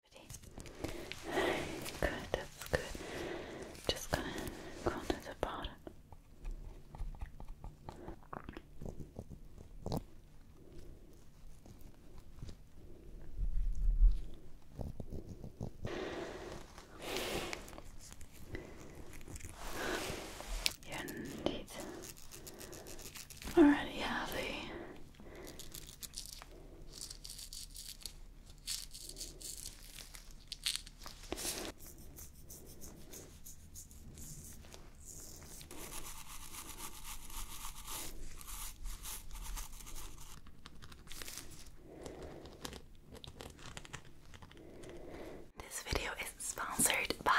Good, that's good. Just gonna go to the bottom. You indeed already have a this video is sponsored by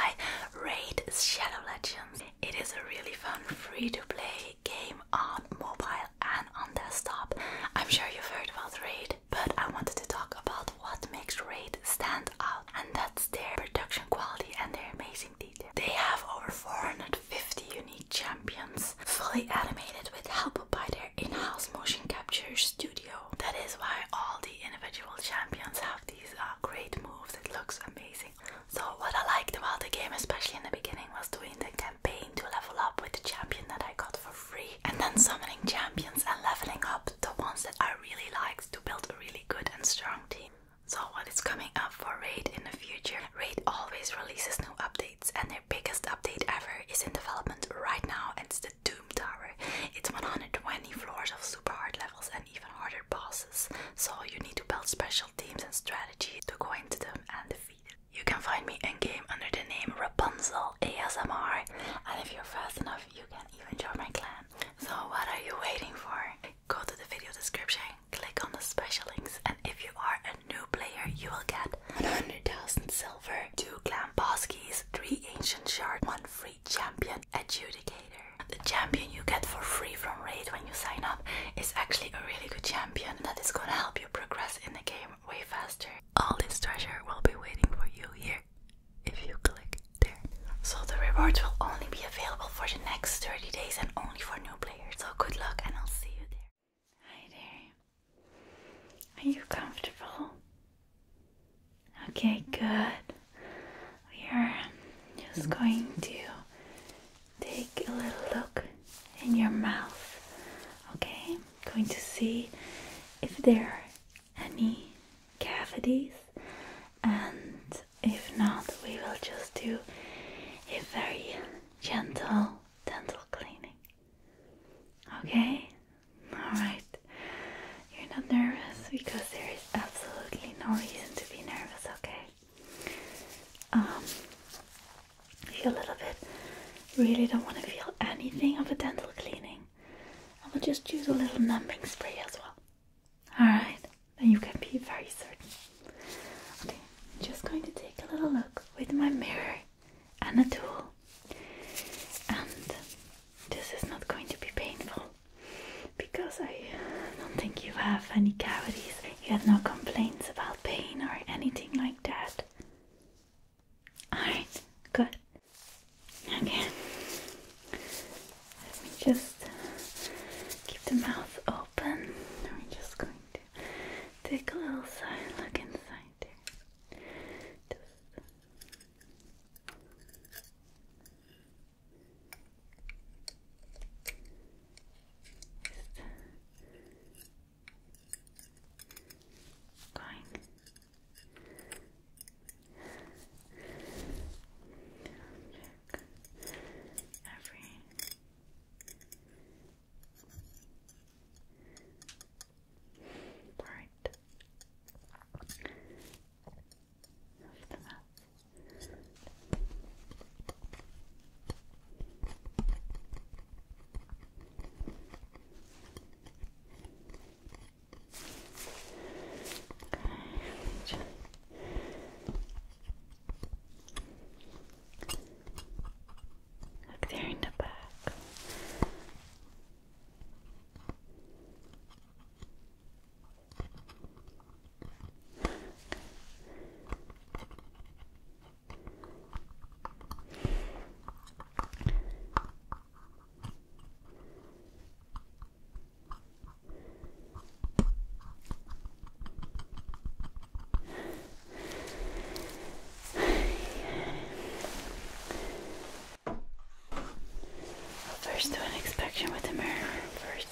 Raid Shadow Legends. It is a really fun free to play game on mobile and on desktop. I'm sure you've heard about Raid, but I wanted to talk about what makes Raid stand out, and that's their production quality and their amazing detail. They have over 450 unique champions, fully animated with help by their in-house motion capture studio. That is why all the individual champions have these uh, great moves. It looks amazing. So what I liked about the game, especially in the beginning, was doing the campaign to level up with the champion that I got for free, and then summoning champions and leveling up the ones that I really liked to build a really good and strong team. So what is coming up for Raid in the future? Raid always releases new updates, and their biggest update ever is in development right now, and it's the Doom Tower. It's 120 floors of super hard levels and even harder bosses, so you need to build special teams and strategy to go into them and you can find me in game under the name Rapunzel ASMR, and if you're fast enough, you can even join my clan. So, what are you waiting for? Go to the video description, click on the special links, and if you are a new player, you will get 100,000 silver, 2 clan boss keys, 3 ancient shard, 1 free champion adjudicator. The champion you get for free from Raid you sign up is actually a really good champion that is gonna help you progress in the game way faster. All this treasure will be waiting for you here if you click there. So the rewards will only be available for the next 30 days and only for new players. So good luck and I'll see you there. Hi there. Are you comfortable? Okay, good. We are just mm-hmm. going to take a little look in your mouth. Okay, I'm going to see if there are any cavities, and if not, we will just do a very gentle dental cleaning. Okay, alright. You're not nervous because there is absolutely no reason to be nervous, okay? I um, feel a little bit really don't want to feel anything of a dental cleaning, I will just use a little numbing spray as well. Alright, then you can be very certain. Okay, I'm just going to take a little look with my mirror and a tool. And this is not going to be painful because I don't think you have any cavities you have no complaints about pain or anything like that? Alright, good. Okay. Let me just keep the mouth open. I'm just going to take a little side look inside there. Just going every part of the map. Look there in the back. I'll first do an inspection with the mirror first.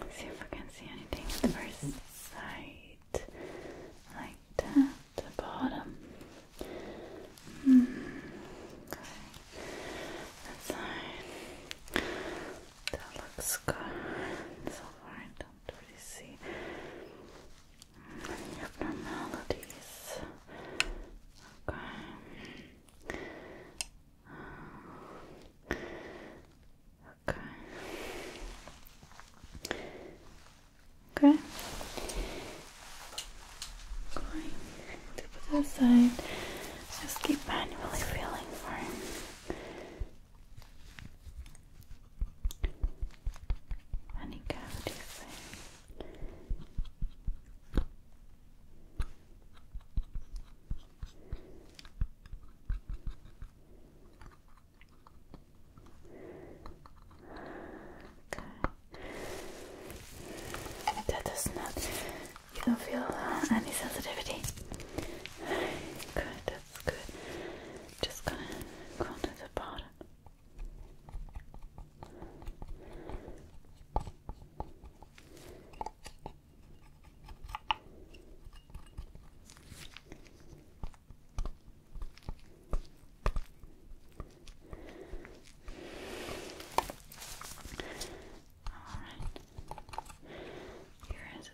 Let's see if I can see anything at the very side. Like the bottom. Hmm. Okay. That side. That looks good. So far, I don't really see any abnormalities. Okay work. Okay. Going to put it aside. Just keep manually feeling for him. Any cavities there. That does not. You don't feel uh, any sensitivity. Good, that's good. Just gonna go to the bottom. Alright. Here is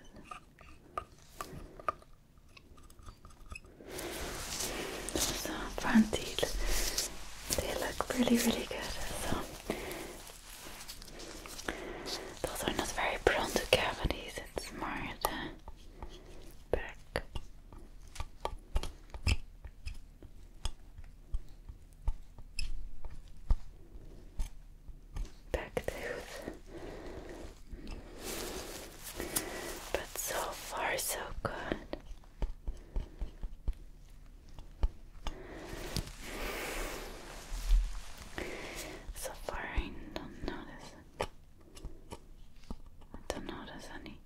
Those front teeth. They look really, really good. Those are not very prone to cavities, it's more the back. Back tooth. But so far, so good. So far, I don't notice. I don't notice any.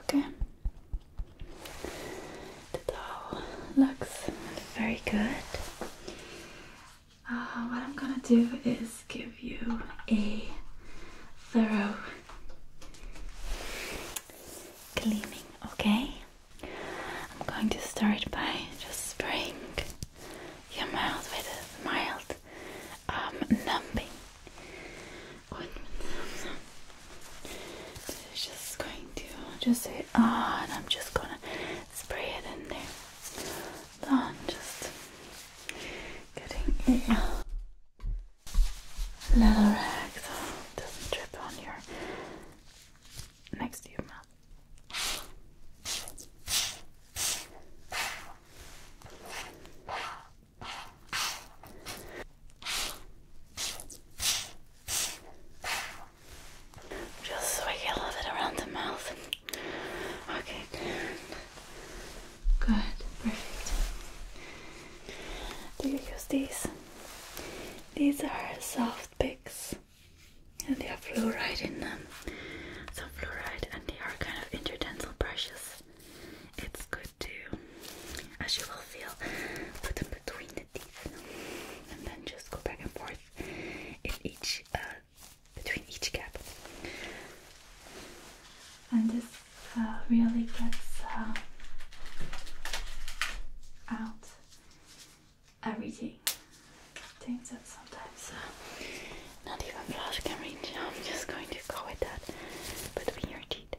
Okay. The towel looks very good. Uh, what I'm gonna do is give you a thorough cleaning, okay? I'm going to start by just spraying your mouth with a mild um, numbing so it's just going to just say ah, oh, and I'm just gonna spray it in there. So ah, just getting a little rag so it doesn't drip on your next to your mouth. Just so I get a little bit around the mouth. Okay, good. Good, perfect. Do you use these? These are soft picks and they have fluoride in them. Some fluoride and they are kind of interdental brushes. It's good too, as you will feel, put them between the teeth and then just go back and forth in each, uh, between each gap. And this uh, really gets uh, out everything. Things that sometimes not even flash can reach. I'm just going to go with that between your teeth.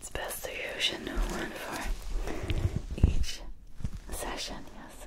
It's best to use a new one for each session, yes.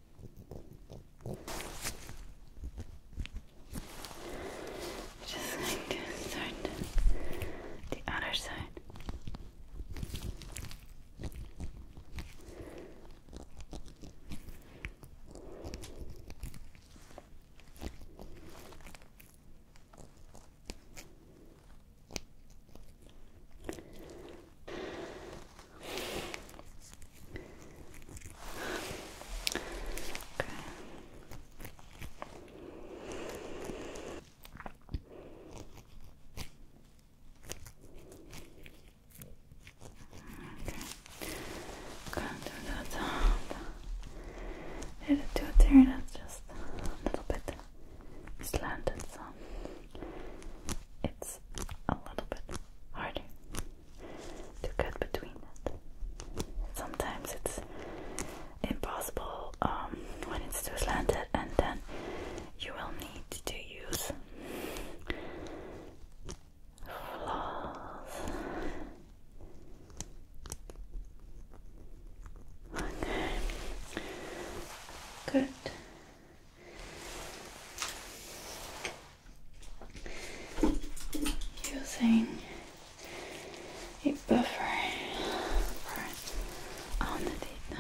Just going start the other side. Okay. There's a tooth here that's just a little bit slanted, so it's a little bit harder to cut between Sometimes it's impossible um, when it's too slanted, and then you will need to use Okay. Good using a buffer on the data.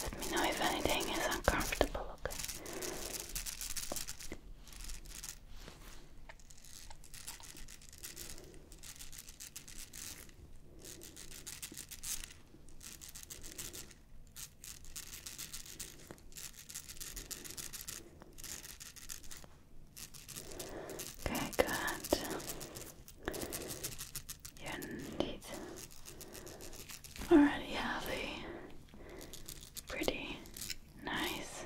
Let me know if anything is uncomfortable, Okay, good. You already have a pretty Nice.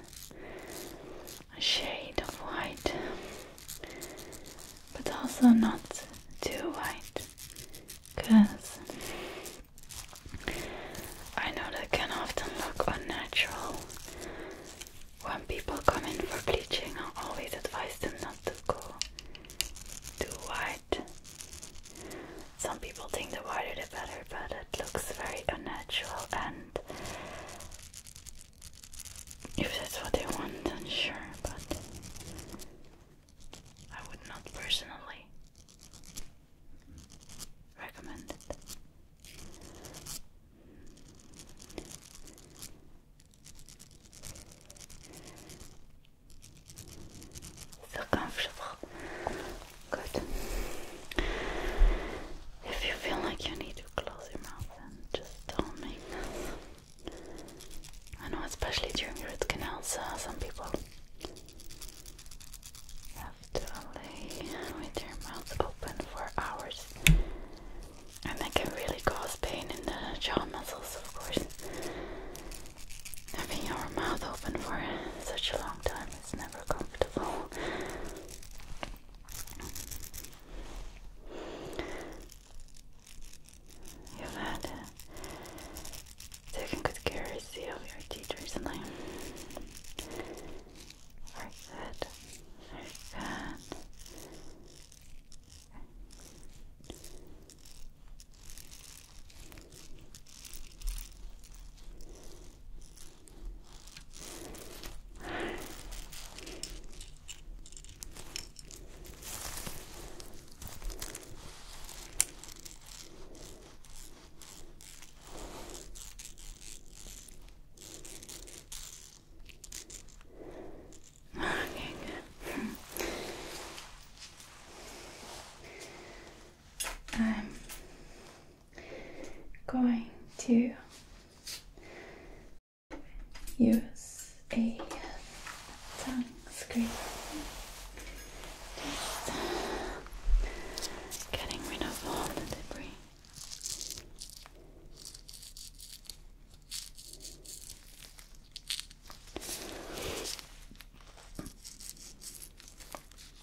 A shade of white, but also not too white, because I know that can often look unnatural. When people come in for bleaching, I always advise them not to go too white. Some people think the whiter the better, but it looks very unnatural and if that's what they want, I'm sure, but I would not personally recommend So comfortable. Good. If you feel like you need to close your mouth, then just don't make noise. I know, especially during root canals, some people have to lay with their mouths open for hours, and that can really cause pain in the jaw muscles, of course. Having your mouth open for such a long time it's never comfortable. You've had uh, good care, of your teeth recently. Very good. Very good. Okay, good. I'm um, going to use a tongue screen. Just uh, getting rid of all the debris.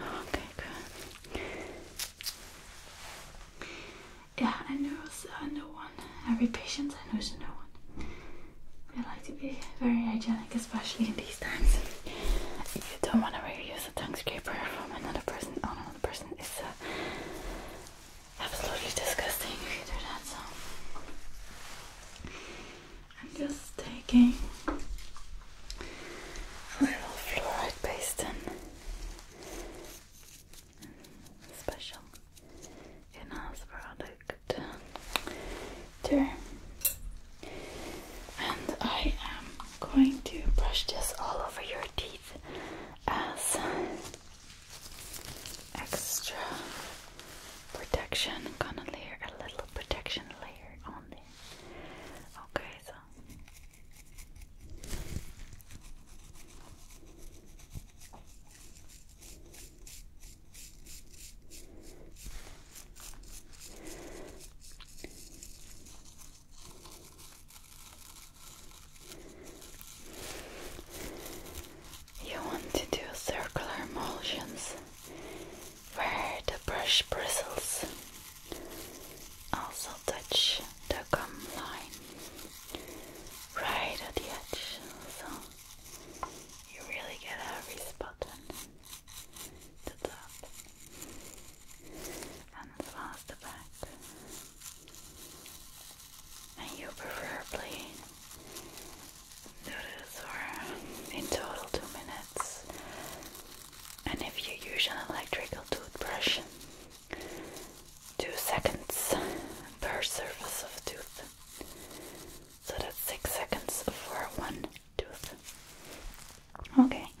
Okay, good. Yeah, I know it's a new one. Every patient I know is a one. We like to be very hygienic, especially in these times. You don't want to reuse a tongue scraper from another person on another person. It's a absolutely disgusting if you do that. So I'm just taking a little fluoride paste basin, special in-house product there, and I am going to brush this all over your teeth as extra protection. Gonna layer a little protection layer on there. Okay, so. You want to do circular motions where the brush bristles also touch the gum line right at the edge, so you really get every spot on the top and as well as the back and you preferably do this for in total two minutes. And if you use an electrical toothbrush, two seconds per surface of tooth. So that's six seconds for one tooth. Okay.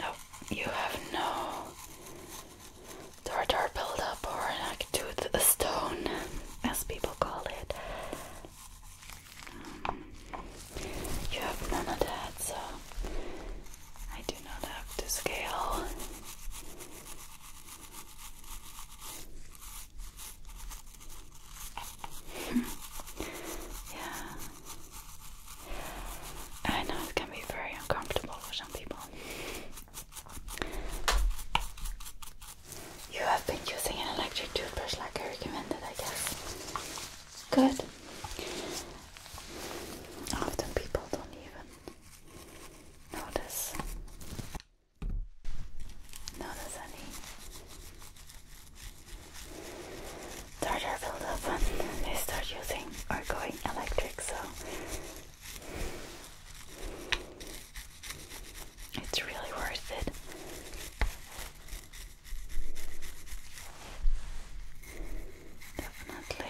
No, you have no tartar buildup or an like tooth stone, as people call it. Um, you have none of that, so I do not have to scale yeah. I know it can be very uncomfortable for some people. You have been using an electric toothbrush like I recommended, I guess. Good. Often people don't even Notice. Notice any starter build and they start using or going electric, so it's really worth it. Definitely.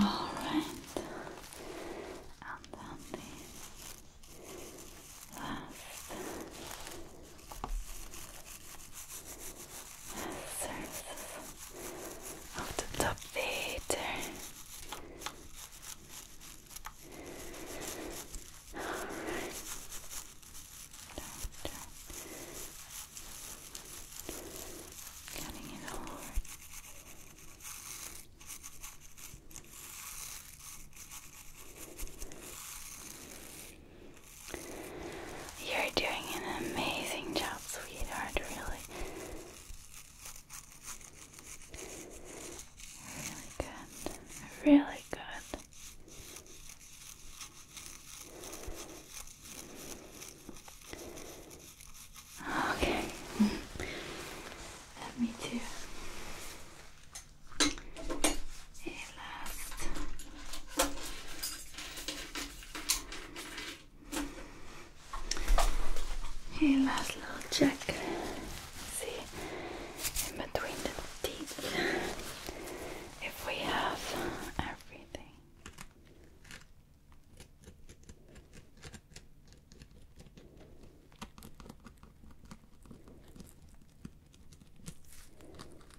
All right, and then the last surface of the top vater. Alright. it all you're doing an amazing job, sweetheart, really. Really good. Really good. Okay. me do last. Hey, last little check. See in between the teeth if we have everything.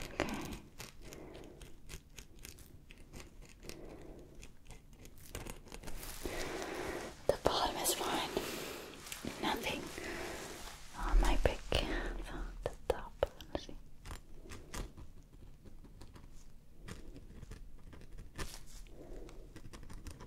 Okay. The bottom is fine. Nothing on my pick. the top. Let's see.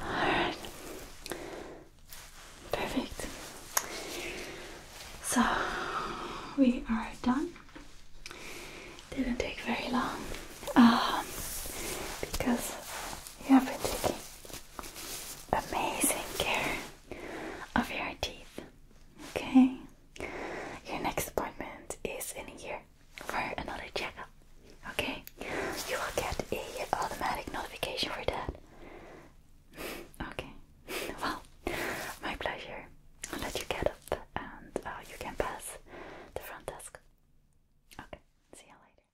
Alright. Perfect. So we are done. Didn't take very long um, because you have been taking amazing care of your teeth. Okay? Your next appointment is in a year for another checkup. Okay? You will get a automatic notification for that. okay. Well, my pleasure. I'll let you get up and uh, you can pass the front desk. Okay, see you later.